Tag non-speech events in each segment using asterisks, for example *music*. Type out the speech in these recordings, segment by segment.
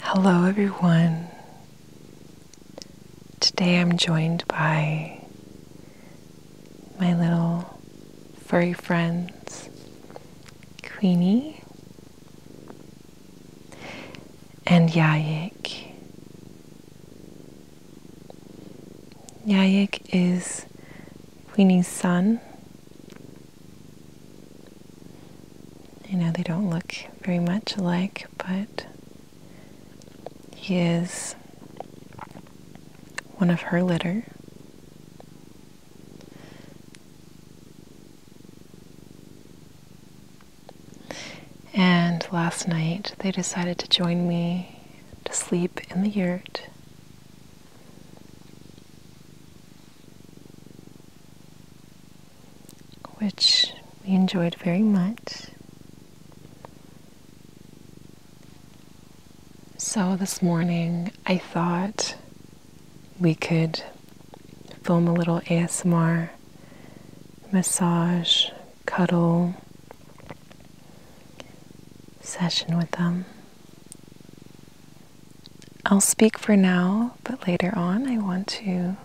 Hello, everyone. Today I'm joined by my little furry friends, Queenie and Yayik. Yayik is Queenie's son, I know they don't look very much alike, but he is one of her litter. And last night they decided to join me to sleep in the yurt which we enjoyed very much. So this morning I thought we could film a little ASMR massage, cuddle session with them. I'll speak for now, but later on I want to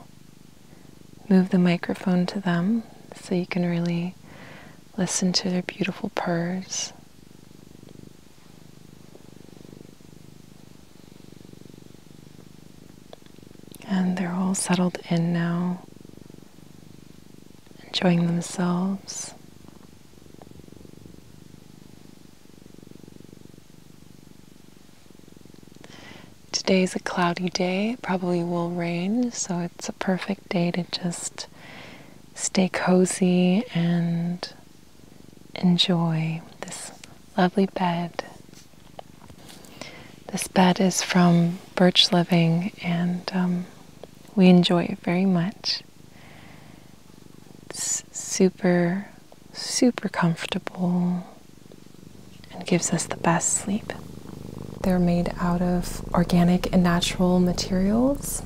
move the microphone to them so you can really listen to their beautiful purrs. And they're all settled in now, enjoying themselves. Today is a cloudy day, probably will rain, so it's a perfect day to just stay cozy and enjoy this lovely bed. This bed is from Birch Living and um, we enjoy it very much. super super comfortable and gives us the best sleep. They're made out of organic and natural materials,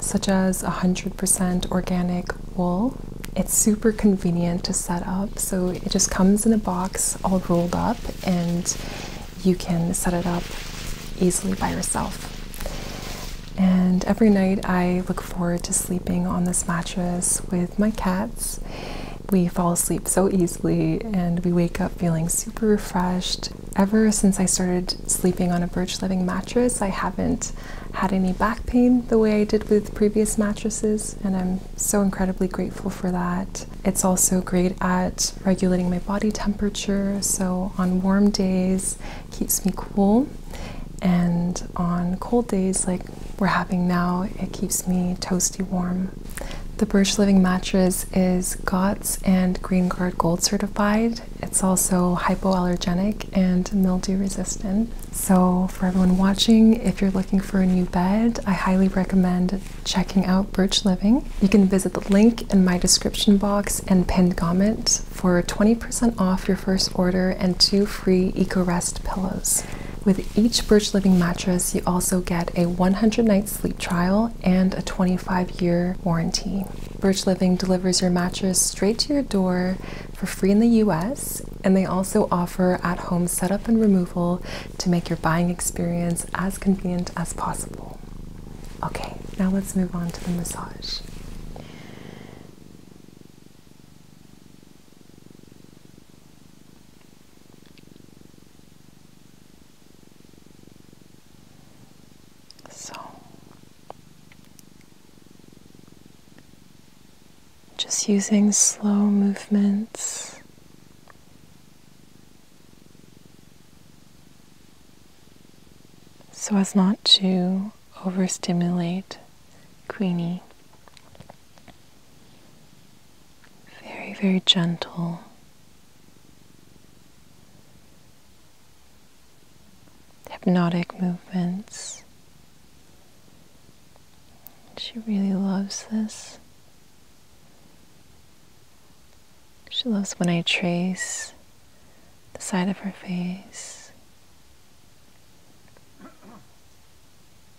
such as 100% organic wool. It's super convenient to set up, so it just comes in a box all rolled up, and you can set it up easily by yourself. And every night I look forward to sleeping on this mattress with my cats we fall asleep so easily and we wake up feeling super refreshed. Ever since I started sleeping on a birch living mattress, I haven't had any back pain the way I did with previous mattresses, and I'm so incredibly grateful for that. It's also great at regulating my body temperature, so on warm days, keeps me cool. And on cold days, like we're having now. It keeps me toasty warm. The Birch Living mattress is GOTS and Green Gold certified. It's also hypoallergenic and mildew resistant. So, for everyone watching, if you're looking for a new bed, I highly recommend checking out Birch Living. You can visit the link in my description box and pinned comment for 20% off your first order and two free EcoRest pillows. With each Birch Living mattress, you also get a 100 night sleep trial and a 25 year warranty. Birch Living delivers your mattress straight to your door for free in the US, and they also offer at home setup and removal to make your buying experience as convenient as possible. Okay, now let's move on to the massage. So, just using slow movements. So as not to overstimulate Queenie. Very, very gentle. Hypnotic movements. She really loves this. She loves when I trace the side of her face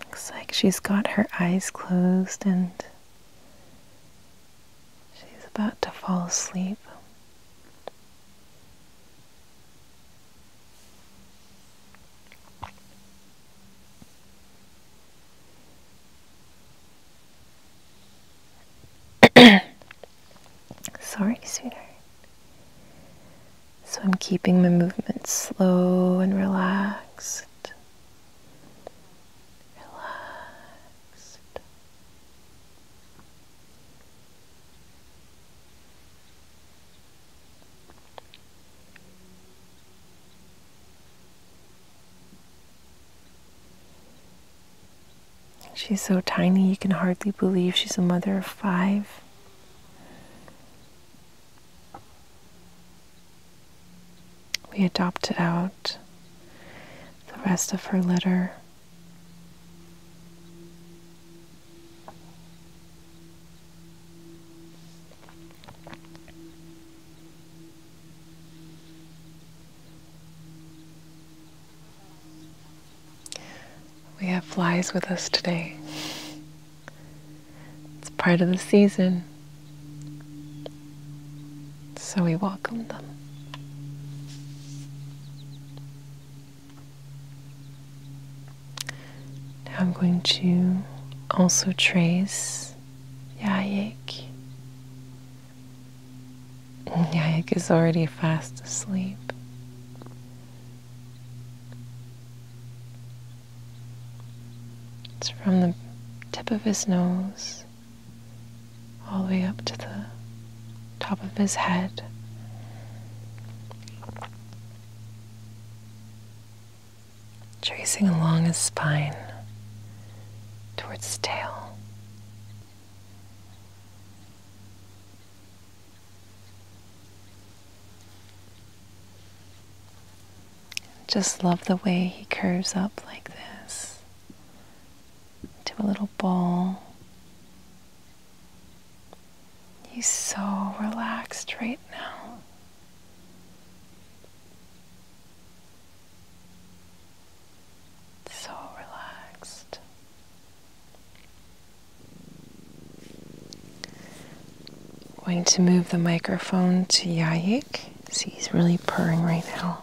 Looks like she's got her eyes closed and she's about to fall asleep. *coughs* Sorry, sweetheart. So I'm keeping my movements slow and relaxed. Relaxed. She's so tiny, you can hardly believe she's a mother of five. We adopted out the rest of her litter. We have flies with us today. It's part of the season, so we welcome them. Now I'm going to also trace Yayik. Yayik is already fast asleep. It's from the tip of his nose all the way up to the top of his head tracing along his spine towards the tail. Just love the way he curves up like this into a little ball. He's so relaxed right now. So relaxed. I'm going to move the microphone to Yayik. See, he's really purring right now.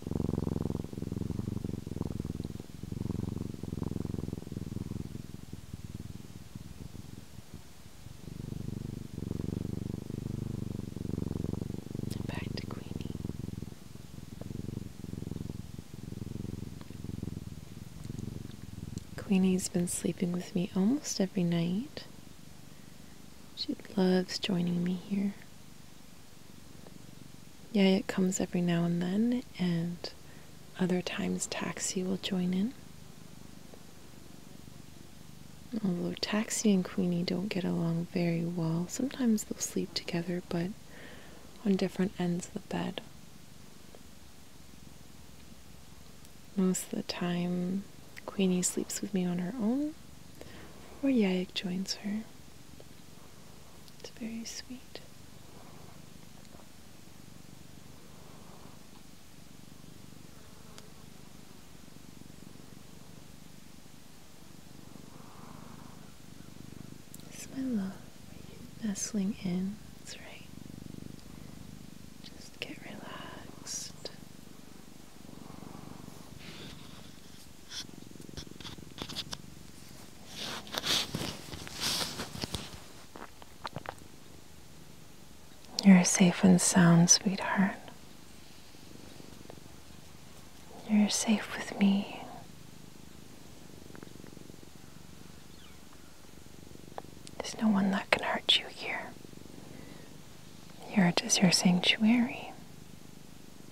Back to Queenie. Queenie's been sleeping with me almost every night. She loves joining me here. Yeah, it comes every now and then, and other times Taxi will join in. Although Taxi and Queenie don't get along very well, sometimes they'll sleep together, but on different ends of the bed. Most of the time, Queenie sleeps with me on her own, or Yayak joins her. It's very sweet. It's my love nestling in. That's right. Just get relaxed. You're safe and sound, sweetheart. You're safe with me. There's no one that can hurt you here. Here it is your sanctuary.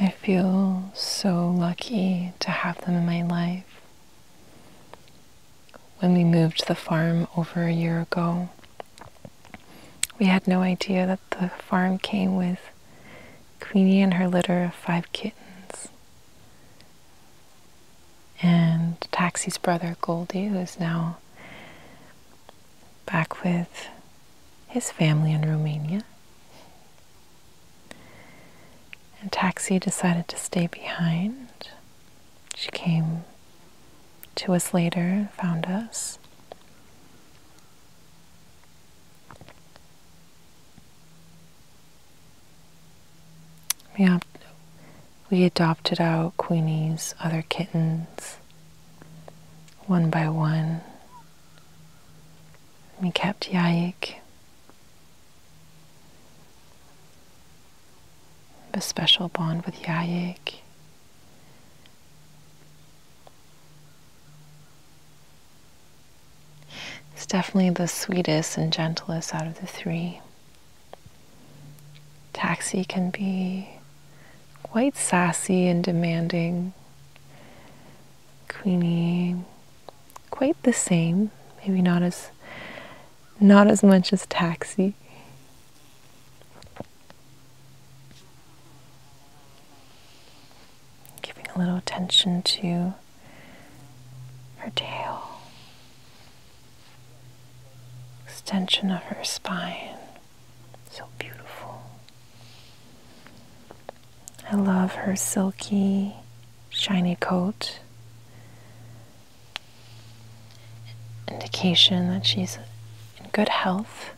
I feel so lucky to have them in my life. When we moved the farm over a year ago, we had no idea that the farm came with Queenie and her litter of five kittens and Taxi's brother Goldie, who is now back with his family in Romania. And Taxi decided to stay behind. She came to us later, found us. We, adopted out Queenie's other kittens one by one. We kept Yaik. A special bond with Yaik. It's definitely the sweetest and gentlest out of the three. Taxi can be quite sassy and demanding. Queenie, quite the same, maybe not as not as much as taxi. Giving a little attention to her tail, extension of her spine. So beautiful. I love her silky, shiny coat. Indication that she's in good health.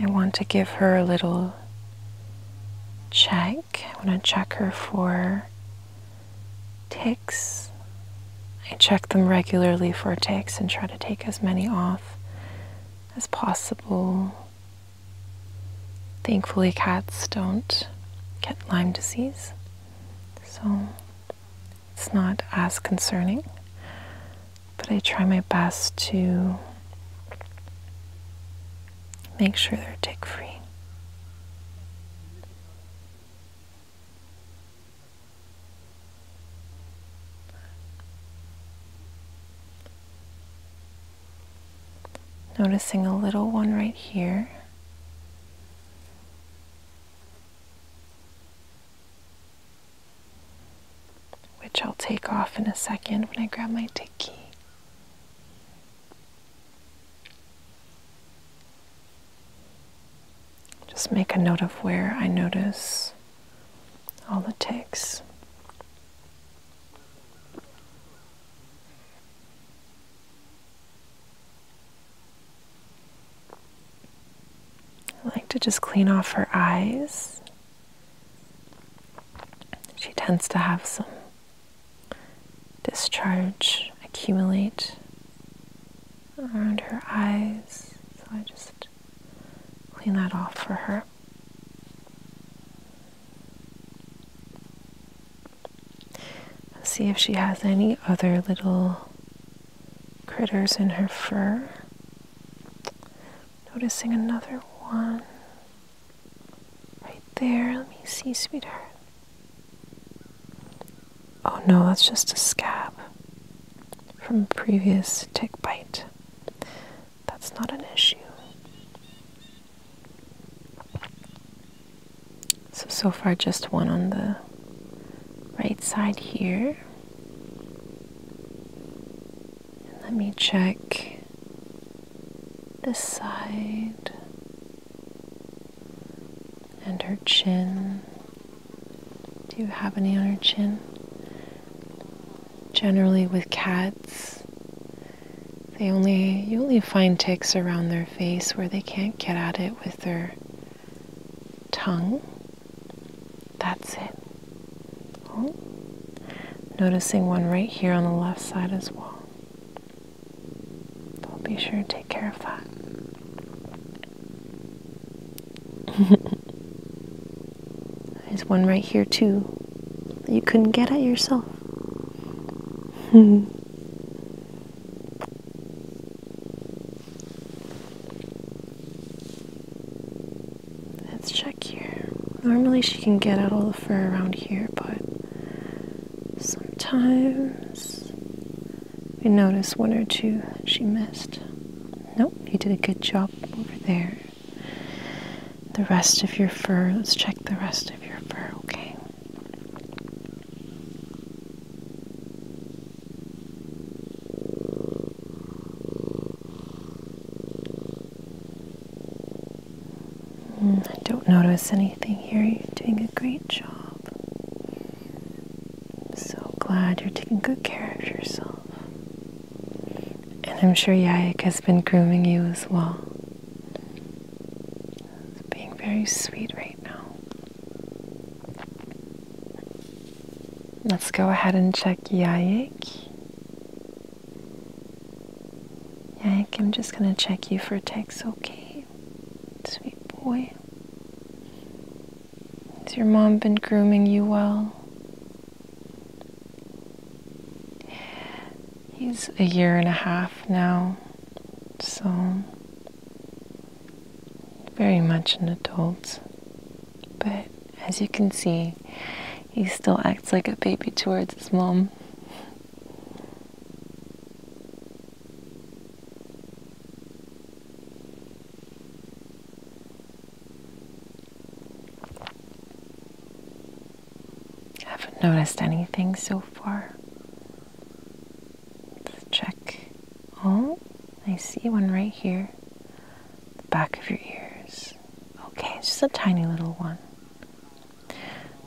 I want to give her a little check. I want to check her for ticks. I check them regularly for ticks and try to take as many off as possible. Thankfully, cats don't get Lyme disease, so it's not as concerning but I try my best to make sure they're tick free. Noticing a little one right here which I'll take off in a second when I grab my tiki. Just make a note of where I notice all the ticks. I like to just clean off her eyes she tends to have some discharge accumulate around her eyes, so I just clean that off for her. see if she has any other little critters in her fur. Noticing another one right there. Let me see, sweetheart. Oh no, that's just a scab from a previous tick bite. That's not an issue. So, so far, just one on the right side here. let me check this side and her chin. Do you have any on her chin? Generally with cats, they only you only find ticks around their face where they can't get at it with their tongue. That's it. Oh. Noticing one right here on the left side as well. So be sure to take care of that. *laughs* There's one right here too that you couldn't get at yourself. *laughs* *laughs* Let's check here. Normally she can get out all the fur around here, but sometimes we notice one or two she missed. Nope, you did a good job over there. The rest of your fur, let's check the rest of your fur, okay? Mm, I don't notice anything here. You're doing a great job. I'm so glad you're taking good care of yourself. And I'm sure Yayak has been grooming you as well. It's being very sweet right now. Let's go ahead and check Yayak. Yank, I'm just gonna check you for ticks, okay? Sweet boy. Has your mom been grooming you well? He's a year and a half now, so very much an adult, but as you can see, he still acts like a baby towards his mom. Haven't noticed anything so far. Let's check. Oh, I see one right here. The back of your ears. Okay, it's just a tiny little one.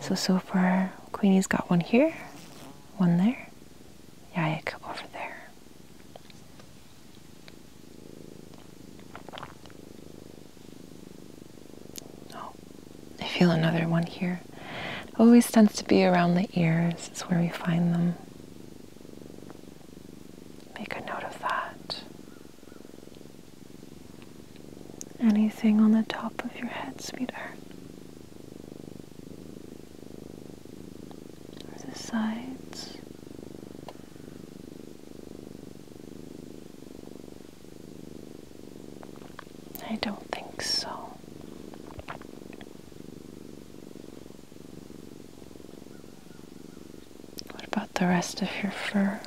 So, so far, Queenie's got one here, one there, Yayak over there. Oh, I feel another one here. always tends to be around the ears, it's where we find them. Make a note of that. Anything on the top of your head, sweetheart? Or the sides? I don't think so. What about the rest of your fur?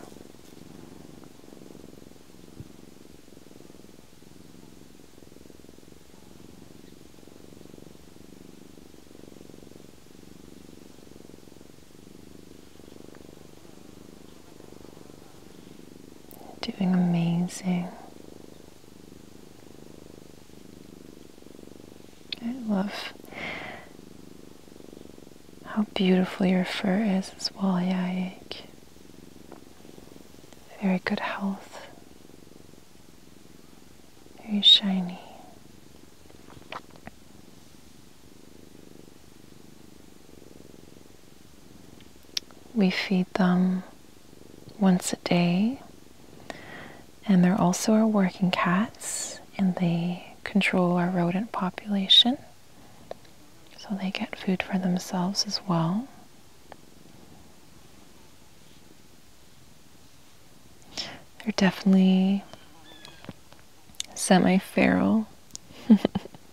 Doing amazing. I love how beautiful your fur is as well, Yaik. Very good health. Very shiny. We feed them once a day. And they're also our working cats, and they control our rodent population. So they get food for themselves as well. They're definitely semi feral,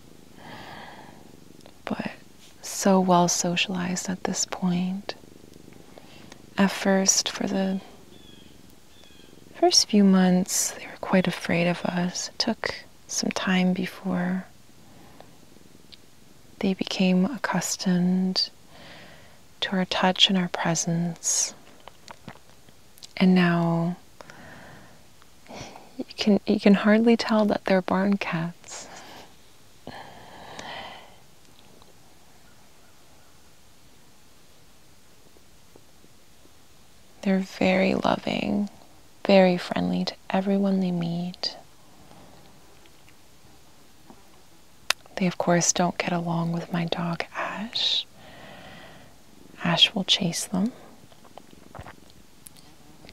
*laughs* but so well socialized at this point. At first, for the first few months, they were quite afraid of us. It took some time before they became accustomed to our touch and our presence. And now you can you can hardly tell that they're barn cats. They're very loving, very friendly to everyone they meet. They, of course, don't get along with my dog Ash. Ash will chase them.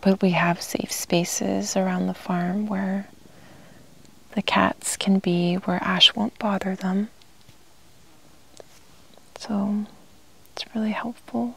But we have safe spaces around the farm where the cats can be, where Ash won't bother them. So it's really helpful.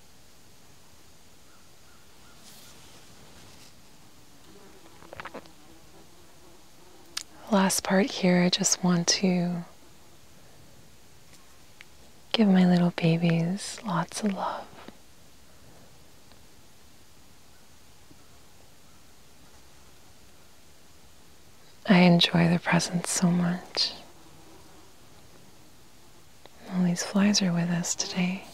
Last part here, I just want to give my little babies lots of love. I enjoy their presence so much. All these flies are with us today.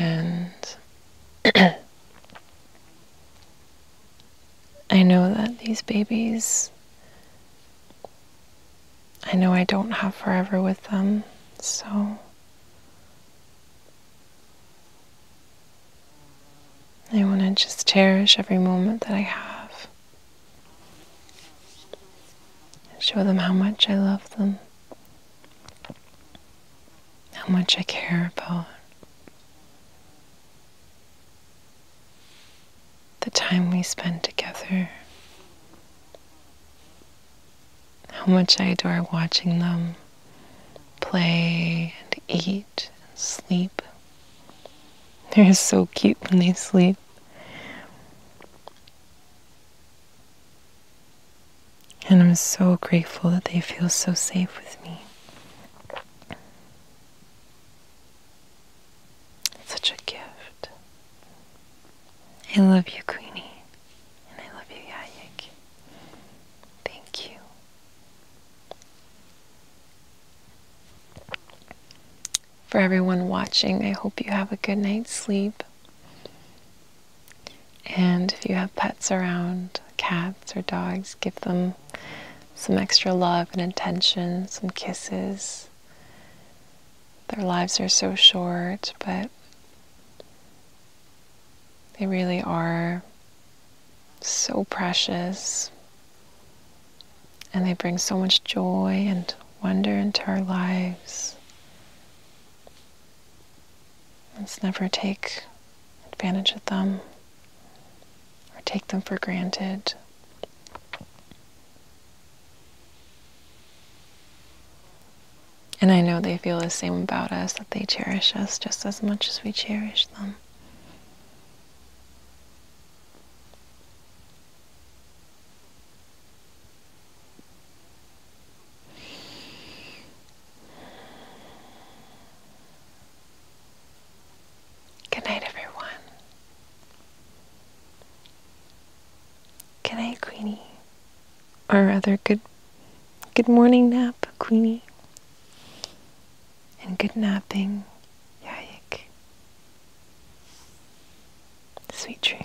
and *clears throat* I know that these babies, I know I don't have forever with them, so I want to just cherish every moment that I have. Show them how much I love them, how much I care about the time we spend together, how much I adore watching them play and eat and sleep they're so cute when they sleep. And I'm so grateful that they feel so safe with me. such a gift. I love you, Queenie. And I love you, Yayak. Thank you. For everyone watching, I hope you have a good night's sleep. And if you have pets around, cats or dogs, give them some extra love and attention, some kisses. Their lives are so short, but they really are so precious. And they bring so much joy and wonder into our lives. Let's never take advantage of them or take them for granted. And I know they feel the same about us, that they cherish us just as much as we cherish them. Good night, everyone. Good night, Queenie. Or rather, good good morning nap, Queenie and good napping, Yayik. Sweet dreams.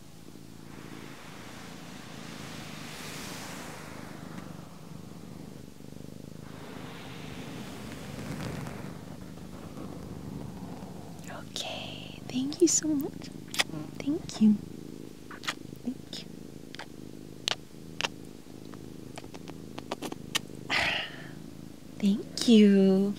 Okay, thank you so much. Thank you. Thank you. *sighs* Thank you.